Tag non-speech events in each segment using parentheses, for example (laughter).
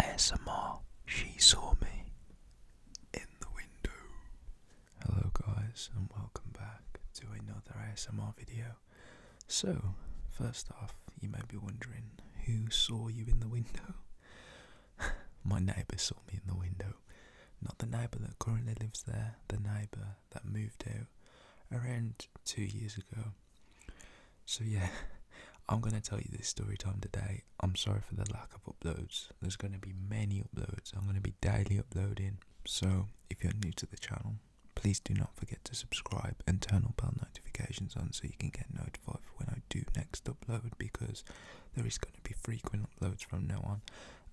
ASMR, she saw me in the window. Hello, guys, and welcome back to another ASMR video. So, first off, you may be wondering who saw you in the window? (laughs) My neighbour saw me in the window. Not the neighbour that currently lives there, the neighbour that moved out around two years ago. So yeah, (laughs) I'm gonna tell you this story time today. I'm sorry for the lack of uploads. There's gonna be many uploads. I'm gonna be daily uploading. So if you're new to the channel, please do not forget to subscribe and turn all bell notifications on so you can get notified when I do next upload because there is gonna be frequent uploads from now on.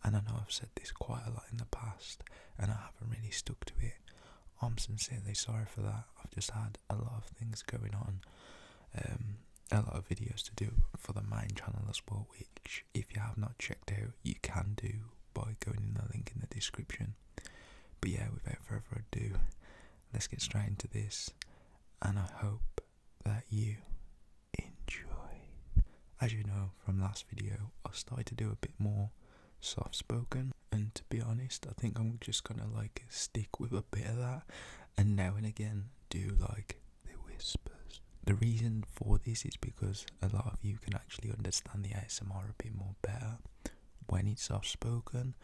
And I know I've said this quite a lot in the past and I haven't really stuck to it. I'm sincerely sorry for that. I've just had a lot of things going on, um, a lot of videos to do for the mine channel as well. Which, if you have not checked out, you can do by going in the link in the description. But yeah, without further ado, let's get straight into this, and I hope that you enjoy. As you know from last video, I started to do a bit more soft spoken and to be honest, I think I'm just gonna like stick with a bit of that, and now and again do like the whispers. The reason for this is because a lot of you can actually understand the ASMR a bit more better when it's soft spoken,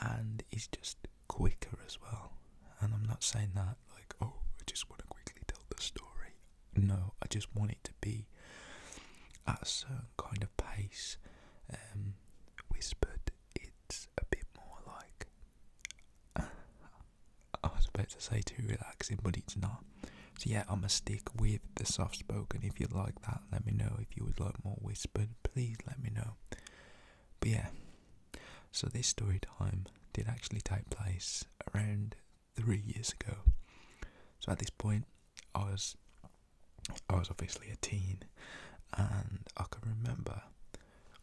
and it's just quicker as well. And I'm not saying that like, oh, I just want to quickly tell the story. No, I just want it to be at a certain kind of pace, um, whispered it's a bit more like (laughs) I was about to say too relaxing, but it's not. So yeah, i am a stick with the soft spoken. If you like that, let me know. If you would like more whispered, please let me know. But yeah. So this story time did actually take place around three years ago. So at this point I was I was obviously a teen, and I can remember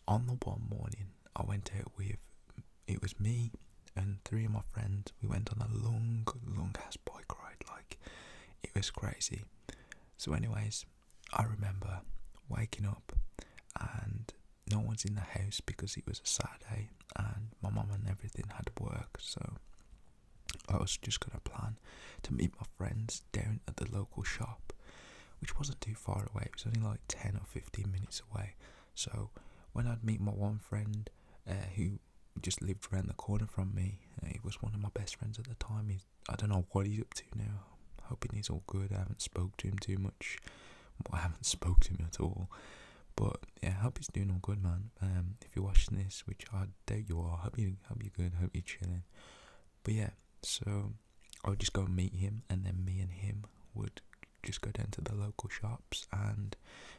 on the one morning I went out with it was me and three of my friends. We went on a long, long ass bike ride, like it was crazy. So, anyways, I remember waking up and no one's in the house because it was a Saturday and my mum and everything had work, so I was just gonna plan to meet my friends was down at the local shop, which wasn't too far away. It was only like 10 or 15 minutes away. So when I'd meet my one friend uh, who just lived around the corner from me, uh, he was one of my best friends at the time. He's, I don't know what he's up to now. i he's all good. haven't spoke to him too much. I haven't (laughs) spoke to him at all. But yeah, hope he's doing all good, man. Um, if you're watching this, which I doubt you are, hope you hope you're good, hope you're chilling. But yeah, so I would just go and meet him, and then me and him would just go down to the local shops and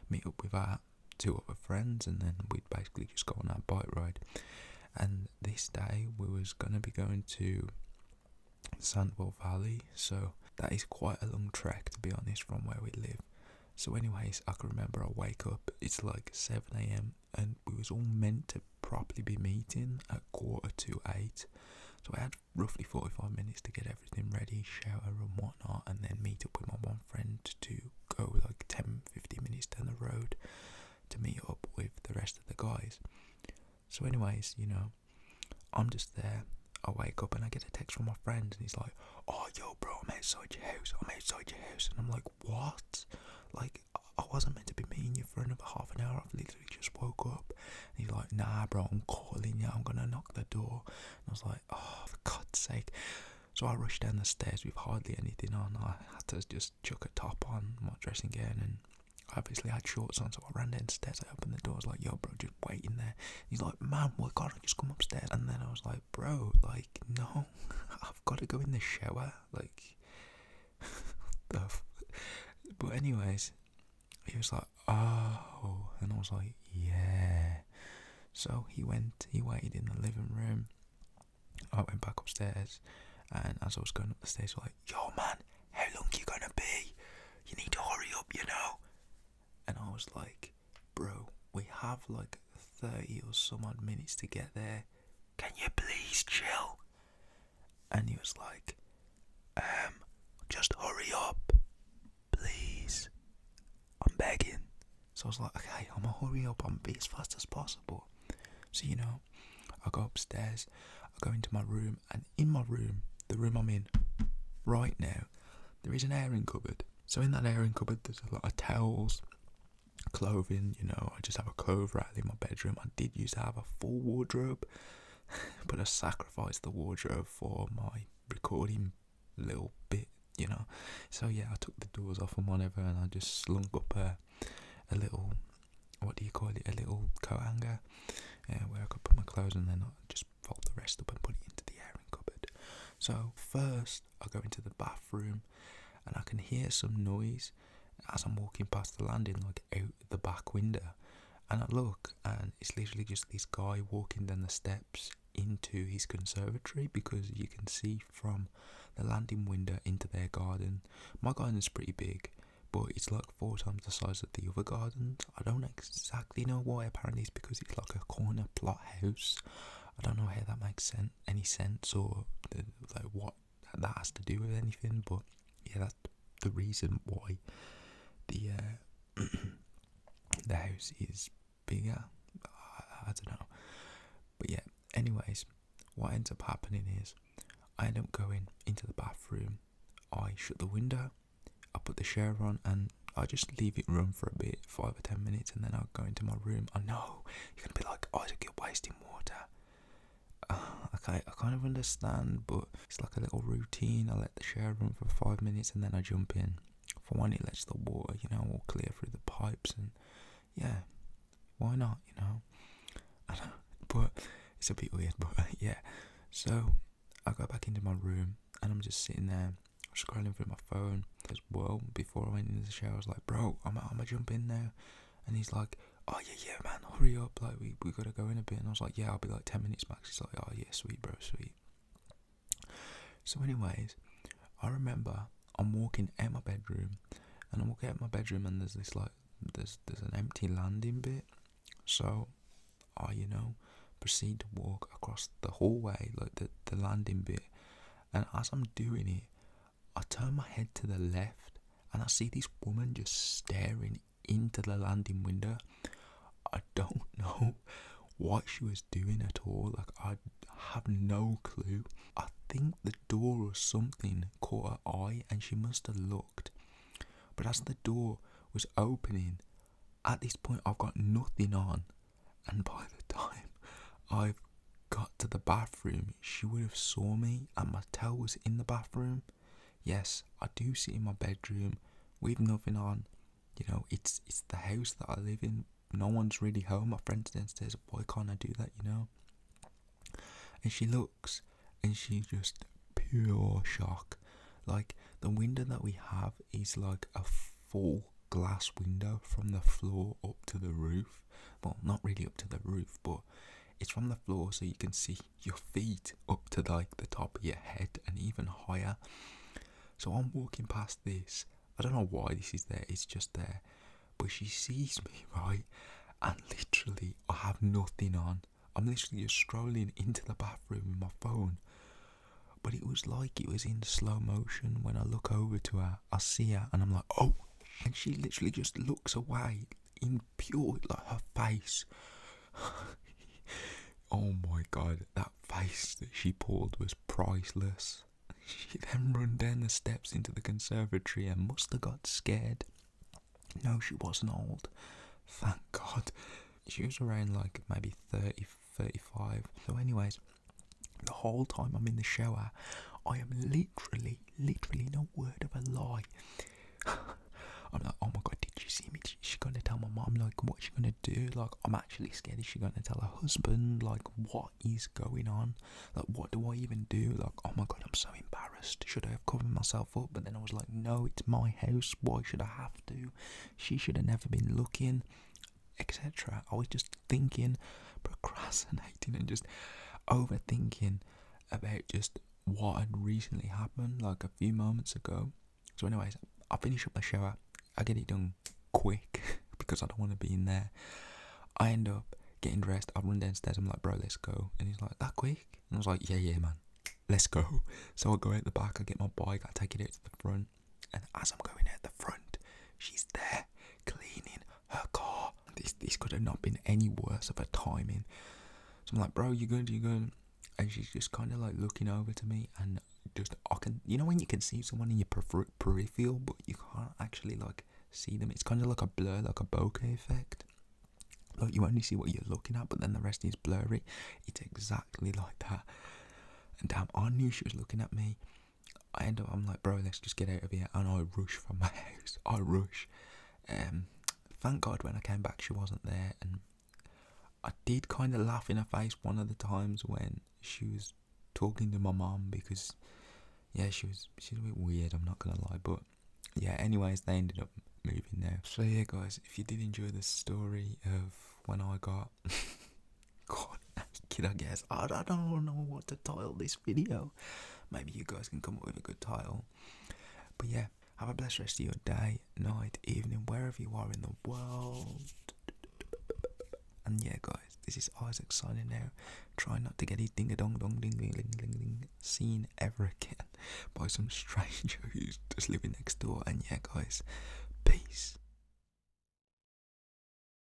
meet up with our two other friends, and then we'd basically just go on our bike ride. And this day we was gonna be going to Sandwell Valley, so that is quite a long trek to be honest from where we live. So, anyways, I can remember I wake up, it's like 7 a.m and we was all meant to properly be meeting at quarter to eight. So I had roughly 45 minutes to get everything ready, shower and whatnot, and then meet up with my one friend to go like 10 minutes down the road to meet up with the rest of the guys. So, anyways, you know, I'm just there. I wake up and I get a text from my friend, and he's like, Oh, yo, bro, I'm outside your house. I'm outside your house. And I'm like, What? Like, I wasn't meant to be meeting you for another half an hour. I've literally just woke up. And he's like, nah, bro, I'm calling you. I'm gonna knock the door. And I was like, oh, for God's sake. So I rushed down the stairs with hardly anything on. I had to just chuck a top on my dressing gown and I obviously had shorts on. So I ran downstairs. I opened the door. I was like, yo, bro, just waiting there. he's like, man, why can't I just come upstairs? And then I was like, bro, like, no, (laughs) I've got to go in the shower like (laughs) but anyways he was like oh and I was like yeah so he went he waited in the living room I went back upstairs and as I was going up the stairs I was like yo man how long you gonna be you need to hurry up you know and I was like bro we have like 30 or some odd minutes to get there can you please chill? And he was like, um, just hurry up, please. I'm begging. So I was like, okay, I'm gonna hurry up and be as fast as possible. So, you know, I go upstairs, I go into my room, and in my room, the room I'm in right now, there is an airing cupboard. So, in that airing cupboard, there's a lot of towels, clothing, you know, I just have a clothes rack in my bedroom. I did used to have a full wardrobe, (laughs) but I sacrificed the wardrobe for my recording little bit, you know. So yeah, I took the doors off and whatever, and I just slung up a, a little, what do you call it, a little coat hanger, where I could put my clothes, and then I just fold the rest up and put it into the airing cupboard. So first, I go into the bathroom and I can hear some noise as I'm walking past the landing, like out the back window. And I look, and it's literally just this guy walking down the steps into his conservatory because you can see from the landing window into their garden. My garden is pretty big, but it's like four times the size of the other gardens. I don't exactly know why, apparently, it's because it's like a corner plot house. I don't know how that makes sense, any sense or like what that, has to do with anything, but yeah, that's the reason why the uh, (clears throat) the house is bigger. I, don't know, but yeah. Anyways, what ends up happening is I end up going into the bathroom. I shut the window. I put the shower on and I just leave it run for a bit, five or ten minutes, and then i go into my room. I know you're gonna be like, oh, Isaac, you're wasting water. Uh, okay, I kind of understand, but it's like a little routine. I let the shower run for five minutes and then I jump in. For one, it lets the water, you know, all clear through the pipes, and yeah, why not, you know, but it's a bit weird, (laughs) but yeah. So I go back into my room and I'm just sitting there scrolling through my phone, as well. Before I went into the shower, I was like, bro, I'm I'm gonna jump in there," and he's like, oh yeah yeah man, hurry up, like we we gotta go in a bit, and I was like, yeah, I'll be like ten minutes max. He's like, oh yeah, sweet bro, sweet. So, anyways, I remember I'm walking in my bedroom, and I'm walking in my bedroom, and there's this like there's there's an empty landing bit, so I you know proceed to walk across the hallway like the the landing bit, and as I'm doing it, I turn my head to the left and I see this woman just staring into the landing window. I don't (laughs) know what she was doing at all. Like, I have no clue. I think the door or something caught her eye and she must have looked. But as the door was opening, at this point, I've got nothing on. And by the (laughs) time I've got to the bathroom, she would have saw me and my towel was in the bathroom. Yes, I do sit in my bedroom with nothing on. You know, it's it's the house that I live in. No one's really home. My friend's downstairs, why can't I do that, you know? And she looks and she's just pure shock. Like the window that we have is like a full glass window from the floor up to the roof. Well, not really up to the roof, but it's from the floor so you can see your feet up to like the top of your head and even higher. So I'm walking past this. I don't know why this is there, it's just there. But she sees me, (laughs) right? And literally, I have nothing on. I'm literally just strolling into the bathroom with my phone. But it was like it was in slow motion. When I look over to her, I see her, and I'm like, oh, and she literally just looks away in pure like her face. (laughs) oh my god, that face that she pulled was priceless. She then run down the steps into the conservatory and must have got scared. No, she wasn't old. Thank God. She was around like maybe 30, 35. So, anyways, the whole time I'm in the shower, I am literally, literally, no word of a lie. (laughs) I'm like, oh my god, did you see me? Is she gonna tell my mom? Like, what's she gonna do? Like, I'm actually scared. Is she gonna tell her husband? Like, what is going on? Like, what do I even do? Like, oh my god, I'm so embarrassed. Should I have covered myself up? But then I was like, no, it's my house. Why should I have to? She should have never been looking etc. I was just thinking, procrastinating, and just overthinking about just what had recently happened, like a few moments ago. So, anyways, I finish up my shower, I get it done quick (laughs) because I don't want to be in there. I end up getting dressed, I run downstairs, I'm like, bro, let's go. And he's like, that quick? And I was like, yeah, yeah, man, let's go. (laughs) So I go out the back, I get my bike, I take it out to the front. And as I'm going out the front, she's there cleaning her car. This this could have not been any worse of a timing. So I'm like, bro, you good? You good? And she's just kind of like looking over to me, and just I can, you know, when you can see someone in your peripheral, but you can't actually like see them. It's kind of like a blur, like a bokeh effect. Like you only see what you're looking at, but then the rest is blurry. It's exactly like that. And damn, I knew she was looking at me. I end up, I'm like, bro, let's just get out of here. And I rush from my (laughs) house. I rush. Um, thank God when I came back, she wasn't there. And I did kind of laugh in her face one of the times when she was talking to my mom because, yeah, she was she's a bit weird. I'm not gonna lie, but yeah. Anyways, they ended up moving there. So yeah, guys, if you did enjoy the story of when I got (laughs) God, kid, (laughs) I guess I don't, I don't know what to title this video. Maybe you guys can come up with a good title. But yeah, have a blessed rest of your day, night, evening, wherever you are in the world. And yeah, guys, this is Isaac signing out. Try not to get his ding a dong dong ding ding ding ding ding seen ever again (laughs) by some stranger who's just living next door. And yeah, guys, peace.